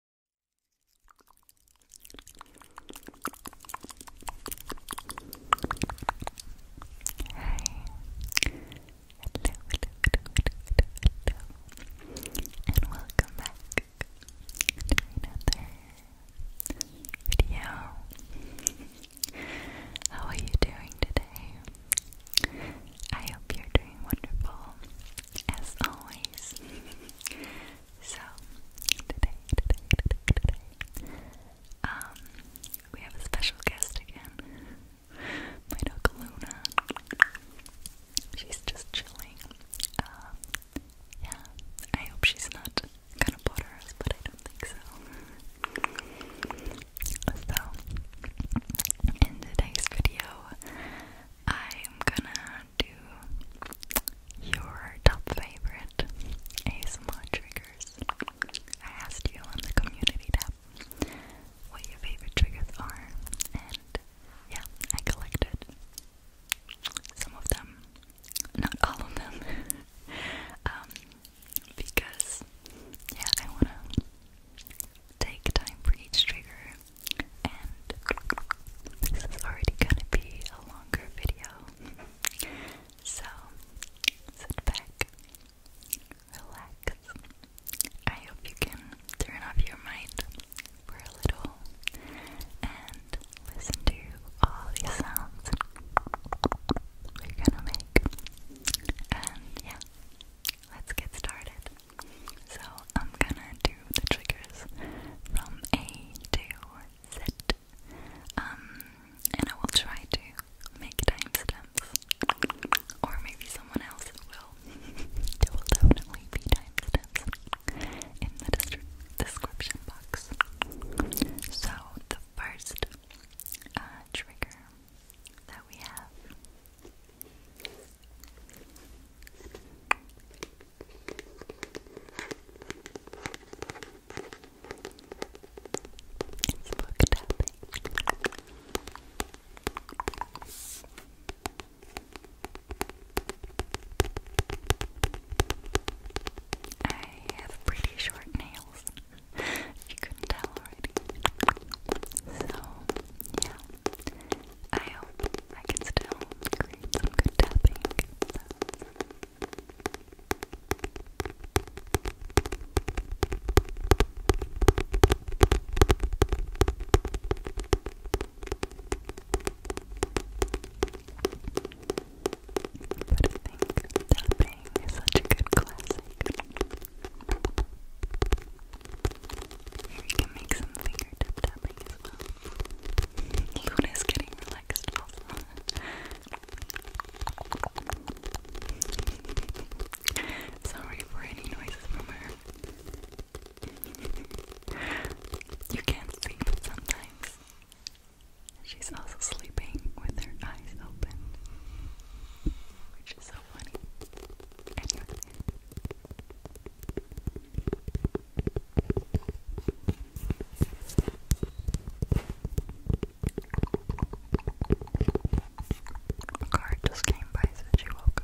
and welcome back to another video. How are you doing today? I hope you're doing wonderful, as always. So today, today, today, today, um, we have a special guest again, my dog Luna. She's just chilling. Um, yeah, I hope she's not gonna bother us, but I don't think so. So, in today's video, I'm gonna do your top favorite ASMR triggers. I asked you on the community tab what your favorite triggers are, and yeah, I collected some of them, not all of them, um, because yeah, I wanna take time for each trigger and this is already gonna be a longer video. So sit back, relax. I hope you can turn off your mind for a little and listen to all these sounds we're gonna make. And yeah, let's get started. So I'm gonna do the triggers from A to Z. Um, and I will try to make timestamps. Or maybe someone else will. there will definitely be timestamps in the description box. So the first uh, trigger that we have it's book tapping. I have pretty short nails. you couldn't tell already. So, yeah. I hope I can still create some good tapping. But I think tapping is such a good classic. Here you can make some finger tapping as well. Luna's getting relaxed Sorry for any noises from her. you can't sleep sometimes. She's also sleeping with her eyes open, which is so funny. A card just came by, said she woke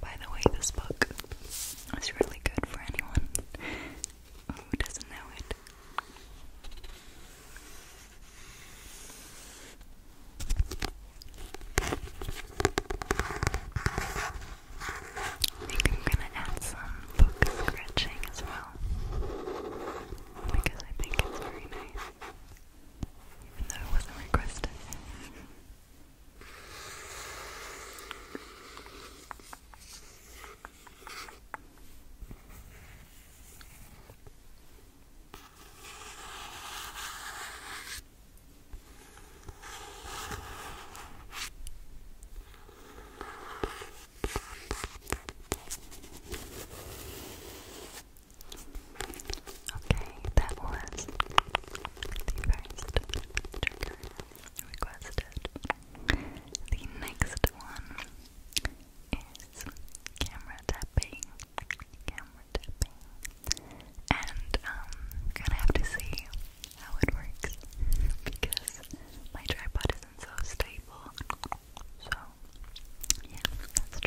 By the way, this book is really good for anyone who doesn't know it light. I think I'm gonna add some book scratching as well because I think it's very nice, even though it wasn't requested. Okay, that was the first trigger requested. The next one is camera tapping. Camera tapping. And um gonna have to see how it works because my tripod isn't so stable. So yeah, let's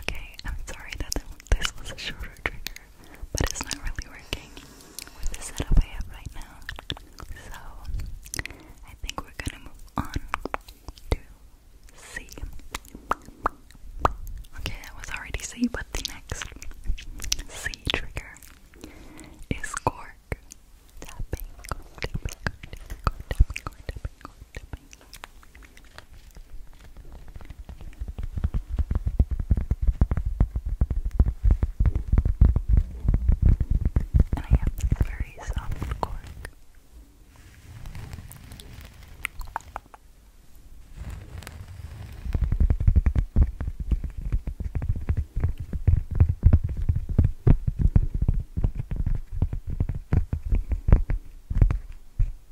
Okay, I'm sorry that this was a shorter trigger, but it's not really working with the setup I have right now. So, I think we're gonna move on to C. Okay, that was already C, but the next C trigger is cork. Tapping, and I have this very soft cork. I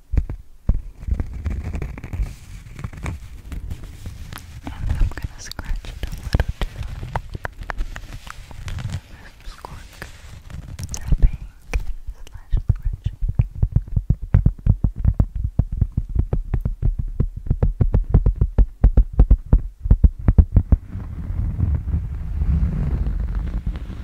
and I'm gonna scratch it a little too. This cork tapping slash scratching. Just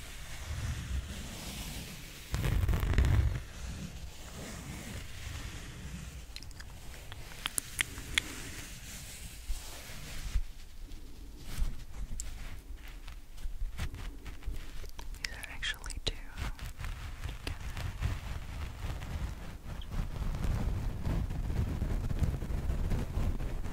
These are actually two together.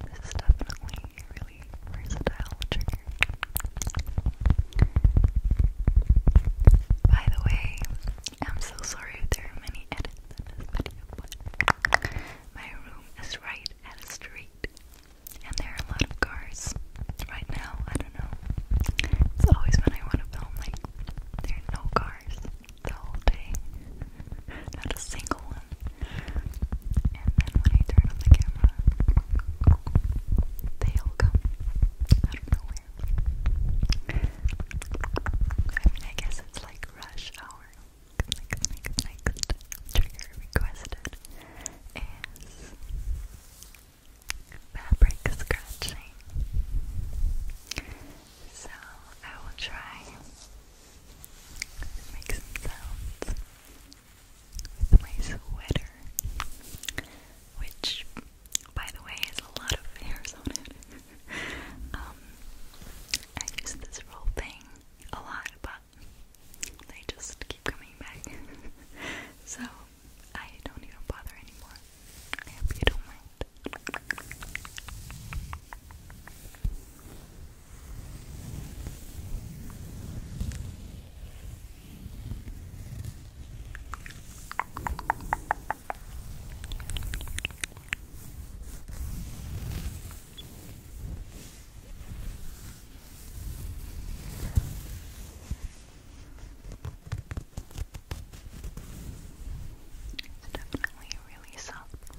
This is definitely a really versatile trigger. By the way, I'm so sorry there are many edits in this video, but my room is right at a street, and there are a lot of cars right now. I don't know. It's always when I want to film, like, there are no cars the whole day. Not a single one. And then when I turn on the camera, they all come out of nowhere. I mean, I guess it's like rush hour. Next, next trigger requested is fabric scratching. So I will try to make some sounds with my sweater, which, by the way, has a lot of hairs on it. Um, I use this roll thing a lot, but they just keep coming back. so I don't even bother anymore. I hope you don't mind. Good. It's definitely a really soft material.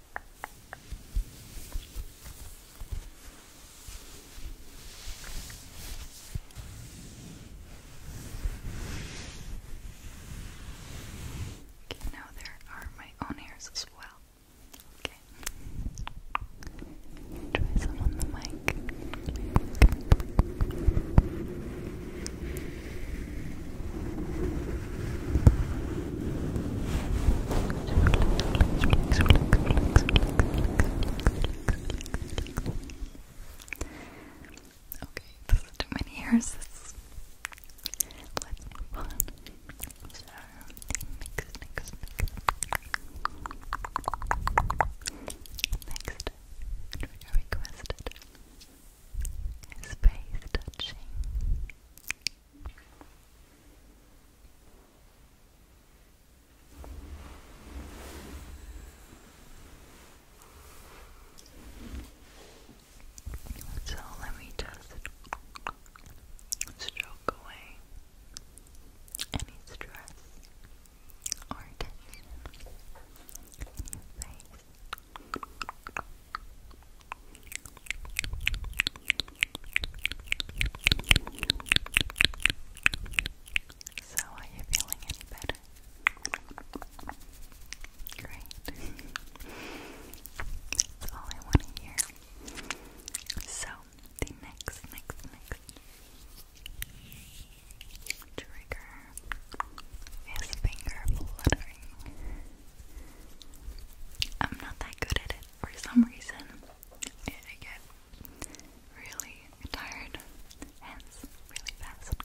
Okay, now there are my own hairs as well. Okay. Try some on the mic. Relax, relax, Okay, too many hairs. Let's move on. So, next, next, next. Next trigger requested is touching. So let me just stroke away any stress or tension in your face. So, are you feeling any better? Great. That's all I want to hear. So, the next, next, next trigger is finger fluttering. I'm not that good at it for some reason. I get really tired, hands really fast.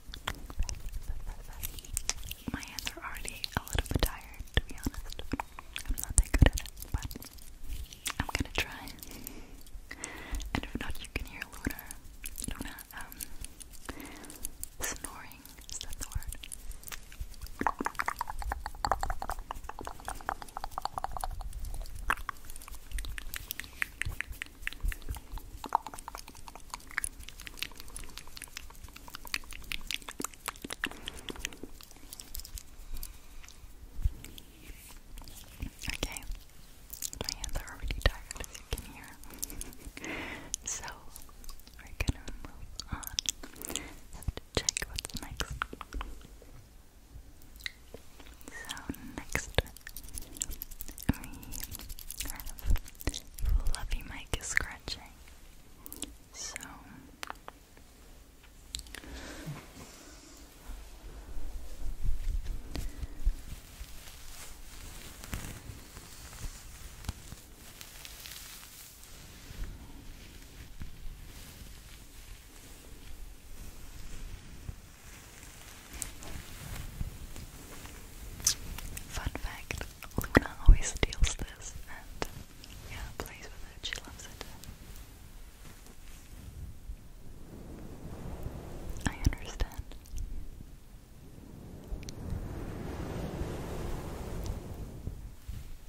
My hands are already a little bit tired, to be honest. I'm not that good at it, but I'm gonna try. And if not, you can hear Lunar, Luna um, boring. Okay, my hands are already tired, as you can hear. so, we're gonna move on. to check what's next. So next we have Fluffy Mike scratching. So Fun fact, Luna always steals this and yeah, plays with She loves it. I understand.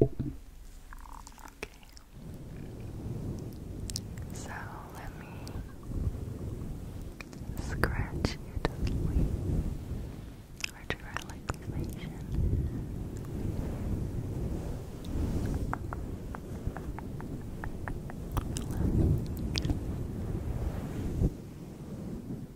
Okay. So let me scratch you to sleep or to relaxation.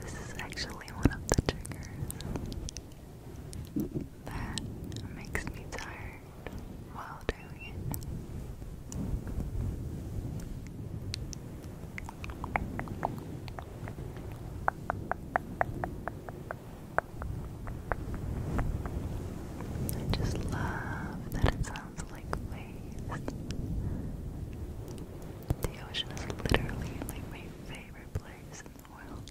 This is actually one of the triggers that makes me tired while doing it. I just love that it sounds like waves. The ocean is literally like my favorite place in the world.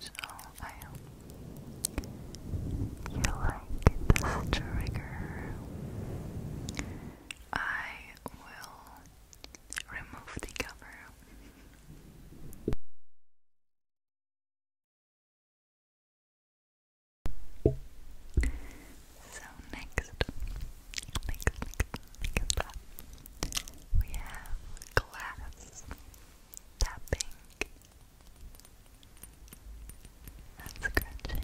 So I hope you like this trigger. I will remove the cover. So next, next, next, we have glass tapping and scratching.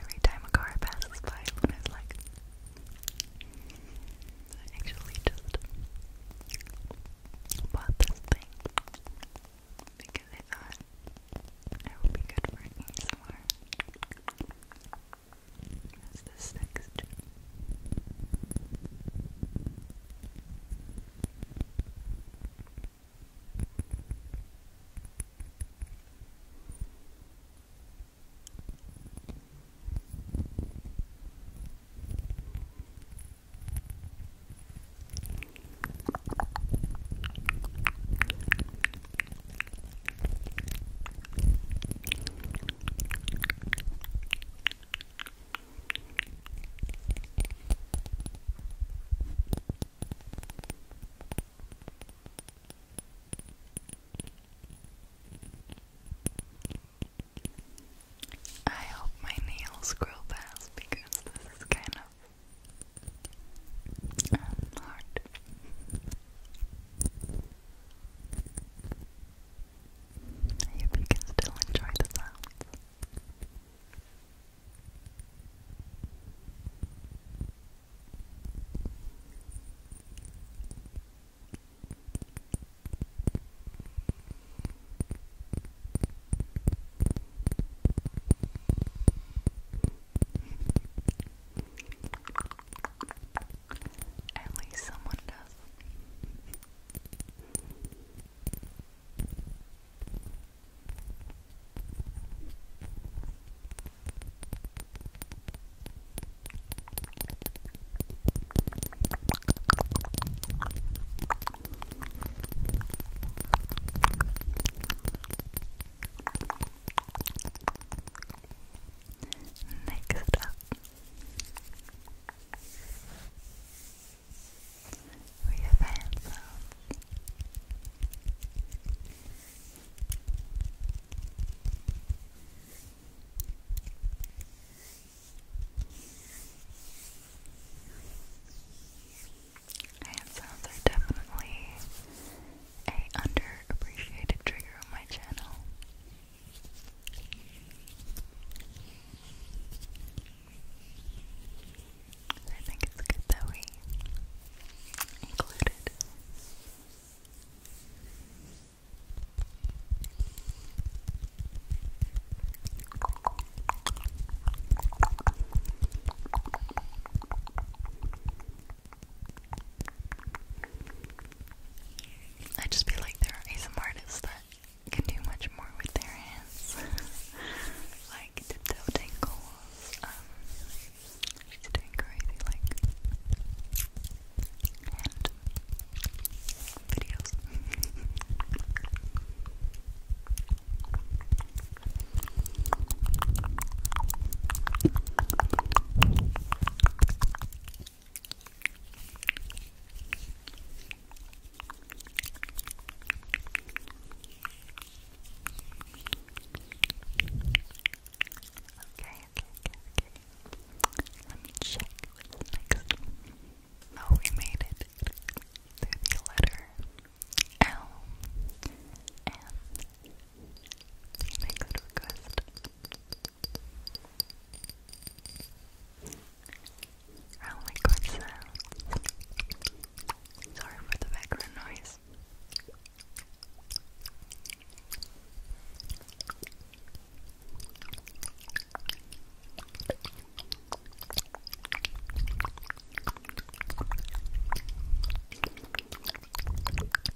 Every time a car passes by, Luna's like, I actually just bought this thing because I thought it would be good for ASMR. That's this next gem. I hope my nails grow fast because this is kind of um, hard. I hope you can still enjoy the sounds. At least someone does. Next up, we have hand sounds. are definitely a underappreciated trigger on my channel. I think it's good that we included. I just feel like there are some artists that can do much more with their hands, like tiptoe Um, doing crazy like hand videos. okay, okay. Let me check what's next. Oh, we made it the letter L. M. Make that request. I only got sounds. Sorry for the background noise.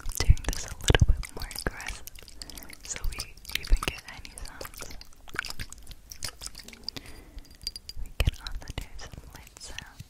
I'm doing this a little bit more aggressive so we even get any sounds. We can also do some lip sounds.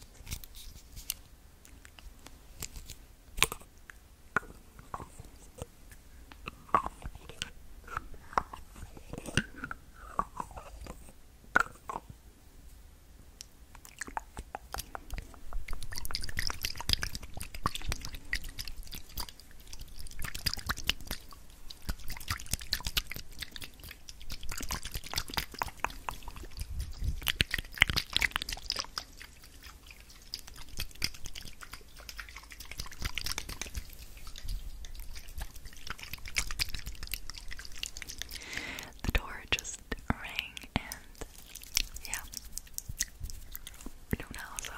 The door just rang and yeah, we so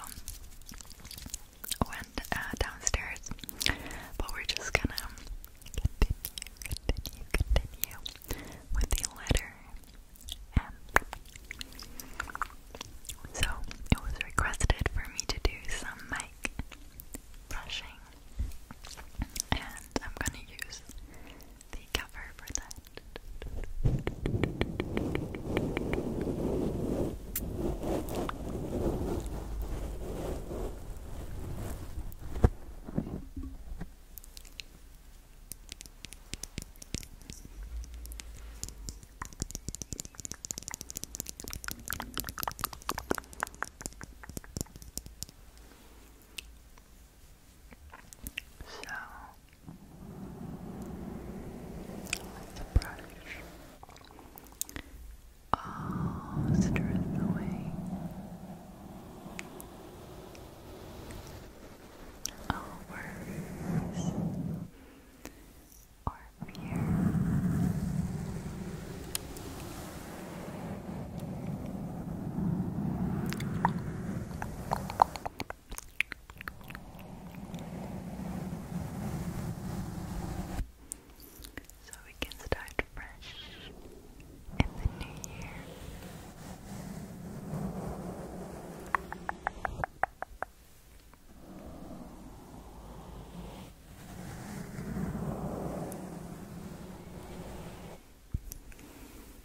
went uh, downstairs, but we're just gonna continue, continue, continue with the letter So it was requested for me to do some mic brushing, and I'm gonna use the cover for that. So let brush all stress away. All or fear. So we can start fresh in the new year.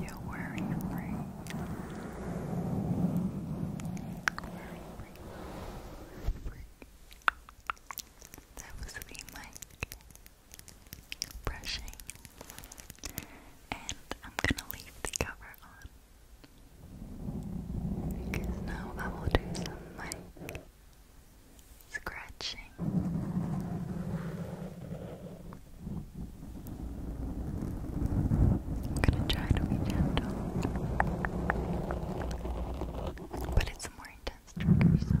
You're worry free. That was the mic brushing. And I'm gonna leave the cover on because now I will do some mic scratching. gonna try to be gentle, but it's more intense trigger,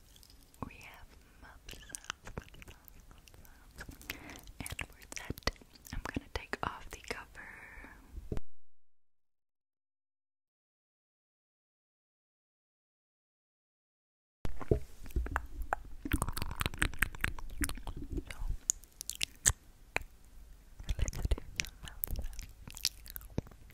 We have muffs, and we're I'm gonna take off the cover. So, let's do some mouth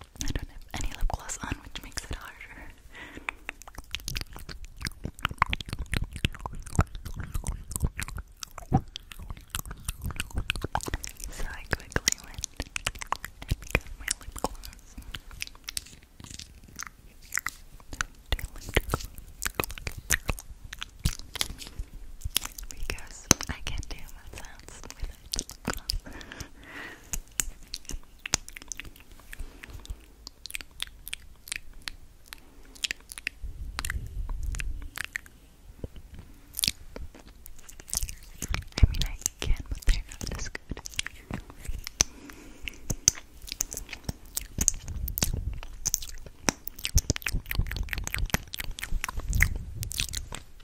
I don't have any lip gloss on, which makes it harder. So I quickly went and got my lip gloss. Because I can't do my sounds it's a I mean, I can, but they're not as good.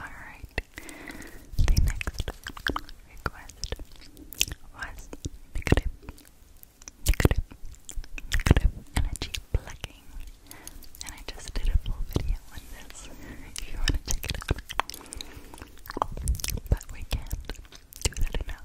Alright, the next request was negative, negative, negative energy plugging. And I just did a full video on this if you want to check it out. But we can't do that enough.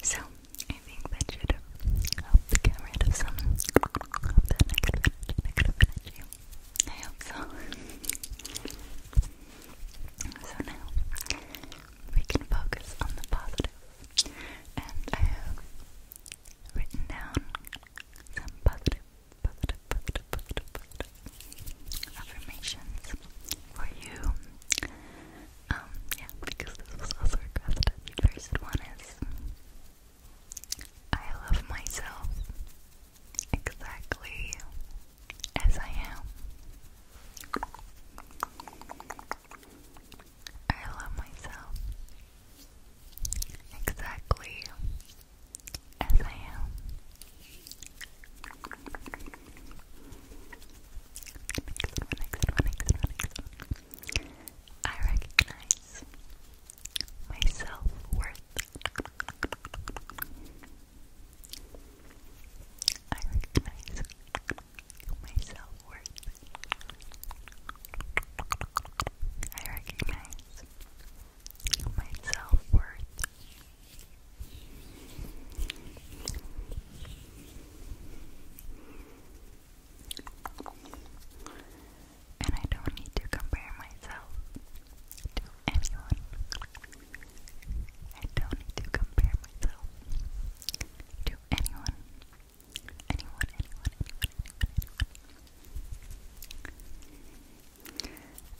So I think that should help get rid of some I hope so. so now we can focus on the And I have written down some positive, positive, positive, positive, positive affirmations for you. Um, yeah, because this was also requested. The first one is I love myself exactly as I am. I love myself exactly as I am. Next one, next one, next one, next one. I recognize my self worth. I recognize my self worth. I recognize my self worth and I don't need to compare myself to anyone. I don't need to compare myself to anyone. Anyone, anyone,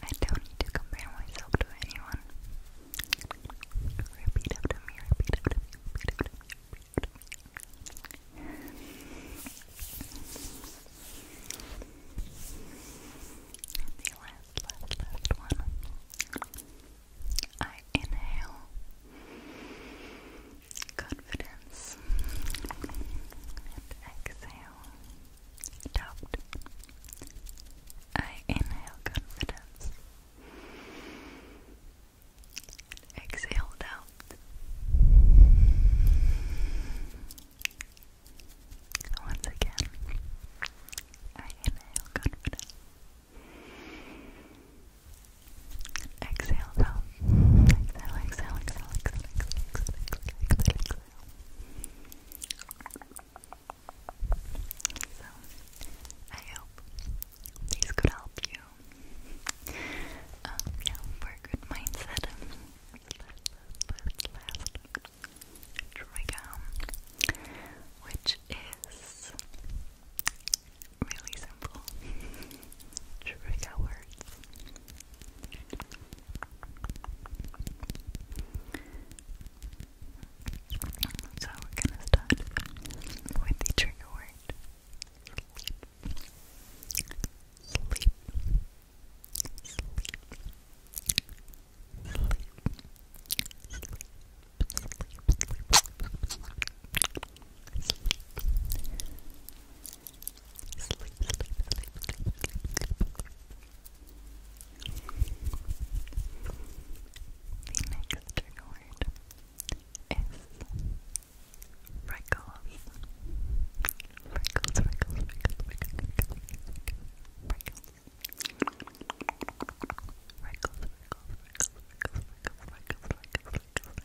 I don't need to compare myself to anyone. repeat after me, repeat after me. The last, last, last one. I inhale confidence and exhale doubt. I inhale confidence. Exhale doubt. Once again, inhale confidence. Exhale though. Exhale, exhale, exhale, exhale, exhale, exhale, exhale, So, I hope these could help you um, yeah, for a good mindset last, last trigger, which is really simple trigger words. So we're gonna start with the trigger word Sleep word is freckles. Freckles, freckles, freckles, freckles, freckles, freckles, freckles, freckles, freckles, freckles, freckles,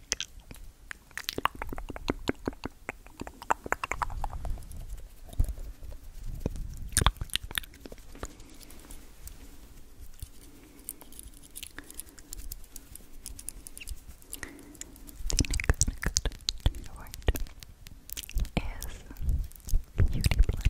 the next, next, to your right, is Beauty Blender.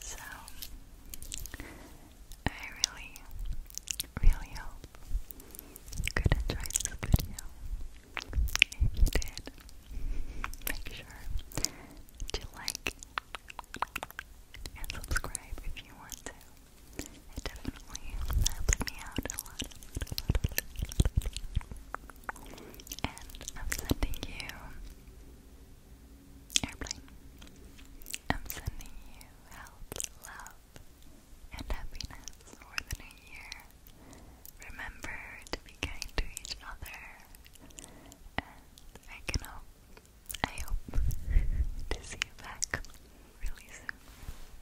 So, I really, really hope you could enjoy this video. If you did, make sure to like and subscribe if you want to definitely helps me out a lot. And I'm sending you airplane. I'm sending you health, love, and happiness for the new year. Remember to be kind to each other, and I can hope, I hope to see you back really soon.